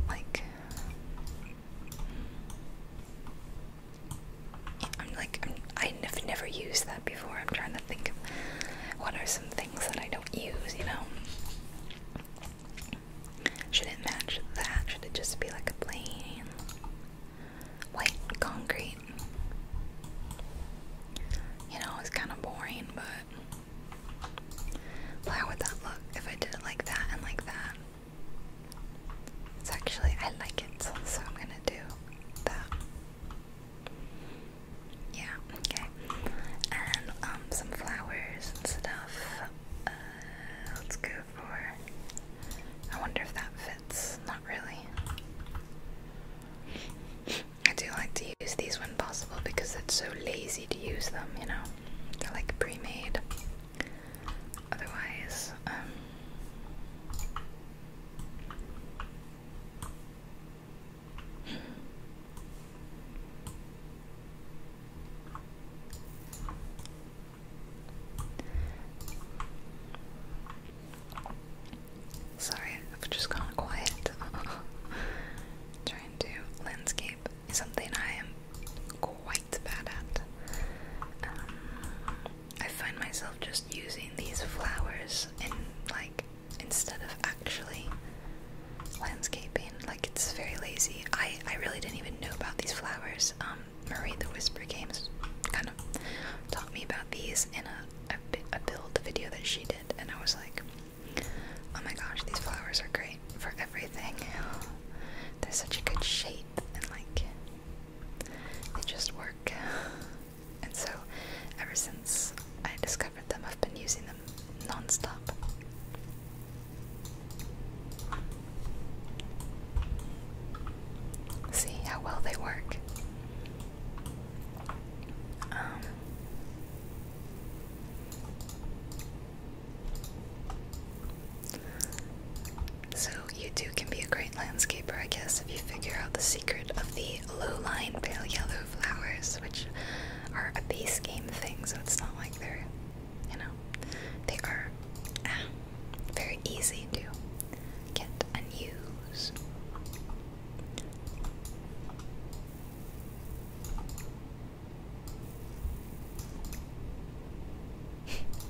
like I'm like i have never used that before. I'm trying to think of what are some things that I don't use. You know, should it match that? Should it just be like a plain? white concrete. You know, it's kind of boring, but how would that look if I did it like that and like that? It's actually, I like it, so I'm gonna do that. Yeah, okay. And um, some flowers and stuff. Uh, let's go for. I wonder if that fits really. I do like to use these when possible because it's so lazy to use them, you know? They're like pre made. Otherwise, um, Sorry, I've just gone quiet. <laughs> Trying to landscape something I am quite bad at. Um, I find myself just using these flowers in like instead of actually landscaping. Like it's very lazy. I I really didn't even know about these flowers. Um, Marie the Whisper games kind of taught me about these in a a, a build video that she did, and I was like, oh my gosh, these flowers are great for everything. They're such a good shape, and like, they just work. And so, ever since I discovered them, I've been using them non stop. See how well they work. Um, so, you too can be a great landscaper, I guess, if you figure out the secret of the low line pale yellow flowers, which are a base game thing, so it's not like they're, you know, they are ah, very easy to get and use. <laughs>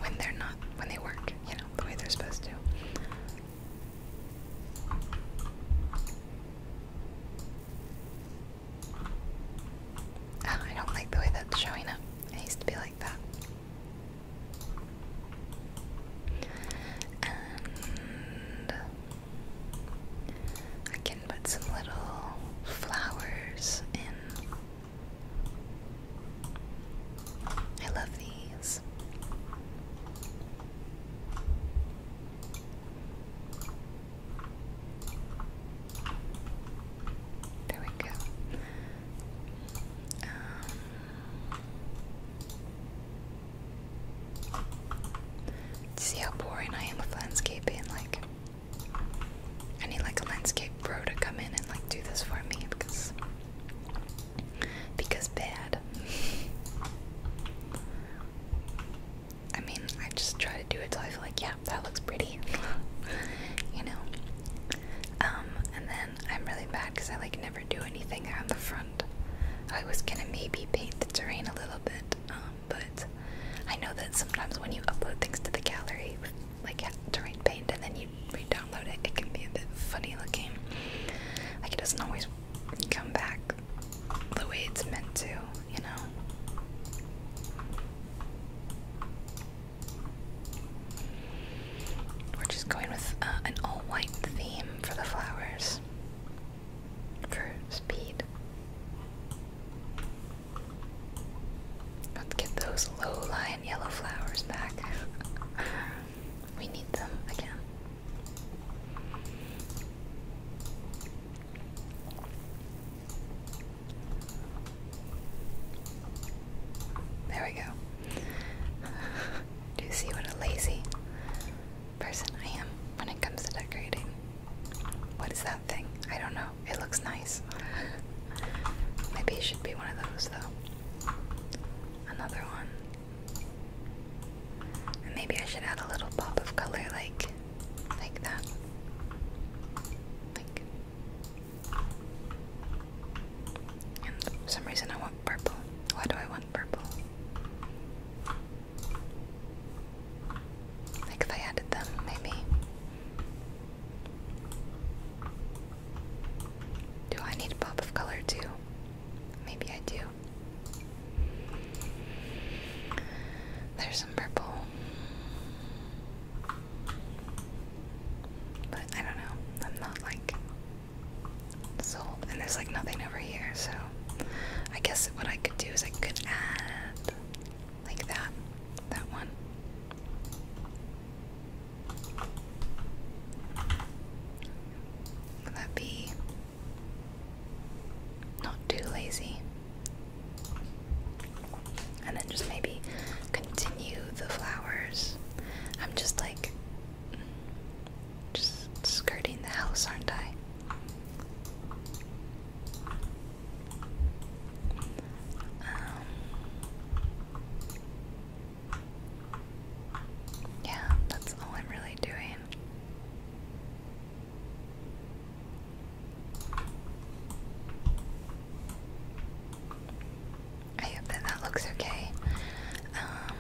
when they're not, when they work, you know, the way they're supposed to. Oh, I don't like the way that's showing up. It used to be like that. And I can put some little flowers in. I love these. There we go. Um, See how boring I am with landscaping, like I need like a landscape bro to come in and like do this for me because because bad. <laughs> I mean, I just try to do it till I feel like, yeah, that looks pretty. <laughs> you know. Um, and then I'm really bad because I like never do anything on the front. I was gonna maybe paint the terrain a little bit, um, but I know that sometimes when you upload things to the gallery like terrain paint and then you re-download it, it can be a bit funny looking. Like it doesn't always come back the way it's meant to, you know. We're just going with uh, an all white theme for the flowers for speed. Let's get those low-lying yellow flowers back. <laughs> we need them again. There we go. <laughs> Do you see what a lazy person I am when it comes to decorating. What is that thing? I don't know. It looks nice. <laughs> Maybe it should be one of those though. Another one. maybe I should add a little pop of color like like that. Like and some reason I want purple. Why do I want purple. Like if I added them, maybe. Do I need a pop of color too? Maybe I do. There's some purple. But I don't know. I'm not like sold. And there's like nothing over here, so I guess what I could do is I could add like that, that one. Would that be not too lazy? And then just maybe continue the flowers. I'm just like just skirting the house, aren't I? Um, yeah, that's all I'm really doing. I hope that that looks okay. Um,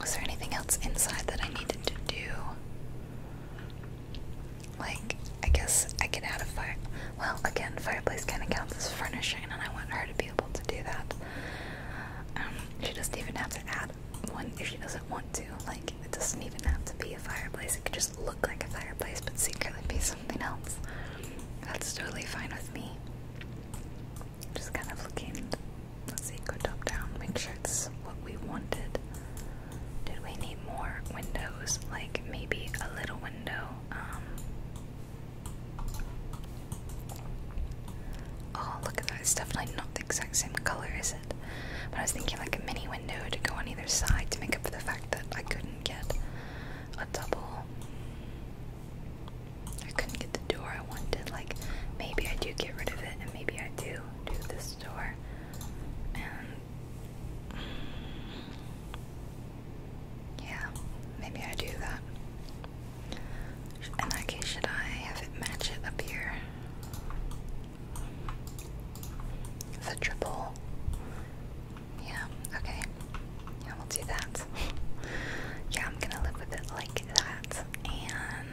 was there anything else inside that I needed to do? Like, I guess I could add a fire. Well, again, fireplace kind of counts as furnishing, and I want her to be able to do that. Um, she doesn't even have to add one if she doesn't want to. Like, it doesn't even have to be a fireplace. It could just look like a fireplace, but secretly be something else. That's totally fine with me. Just kind of looking Let's see, go top down, make sure it's what we wanted. Did we need more windows? Like maybe a little window. Um. Oh look at that, it's definitely not the exact same color, is it? But I was thinking like a mini window to go on either side to make up for the fact that I couldn't get a double. I couldn't get the door I wanted. Like, maybe I do get rid of it, and maybe I do do this door. And yeah, maybe I do that. In that case, should I have it match it up here? The triple. Yeah, okay. Yeah, we'll do that. <laughs> yeah, I'm gonna live with it like that. And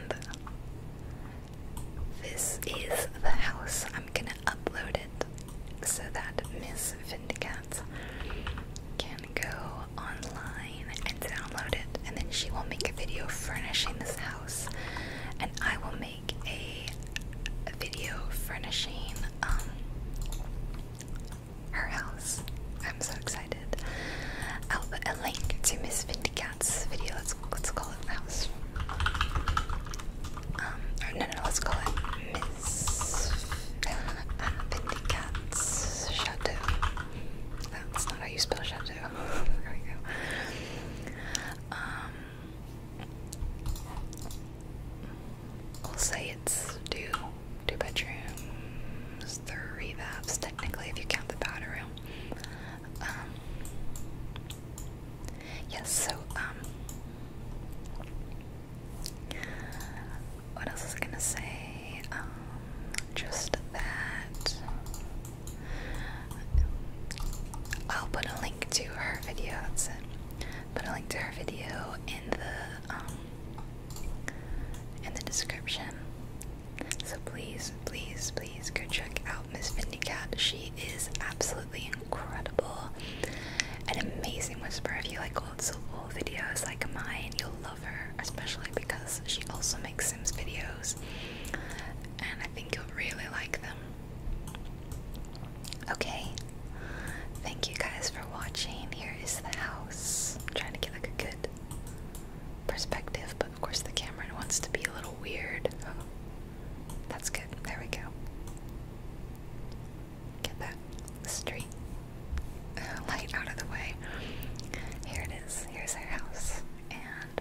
this is the house. I'm gonna upload it so that Miss Vindicat can go online and download it, and then she will make a video furnishing this house, and I will make a, a video furnishing um her house. I'm so excited. I'll put a link to Miss Vindycat's video. Let's let's call it Mouse. Um, no, no, let's call it Miss uh, Vindycat's Chateau. That's not how you spell Chateau. <laughs> there we go. Um, will say it's two two bedrooms three vaps, technically if you count the powder um, yes, so um, what else was gonna say? Um, just that. I'll put a link to her video. Put a link to her video in the in the description. So please, please, please go check out Miss Vindy Cat. She is absolutely incredible. An amazing whisperer. If you like old school videos like mine, you'll love her, especially because she also makes Sims videos. And I think you'll really like them. Okay. Thank you guys for watching. Here is the house. trying to get like a good perspective, but of course the camera wants to be a little weird. Oh, that's good. There we go. Get that street uh, light out of the way. Here it is. Here's our house. And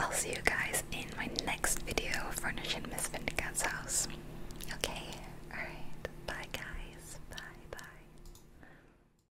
I'll see you guys in my next video furnishing Miss Vindicatt's house. Okay? Alright. Bye, guys. Bye, bye.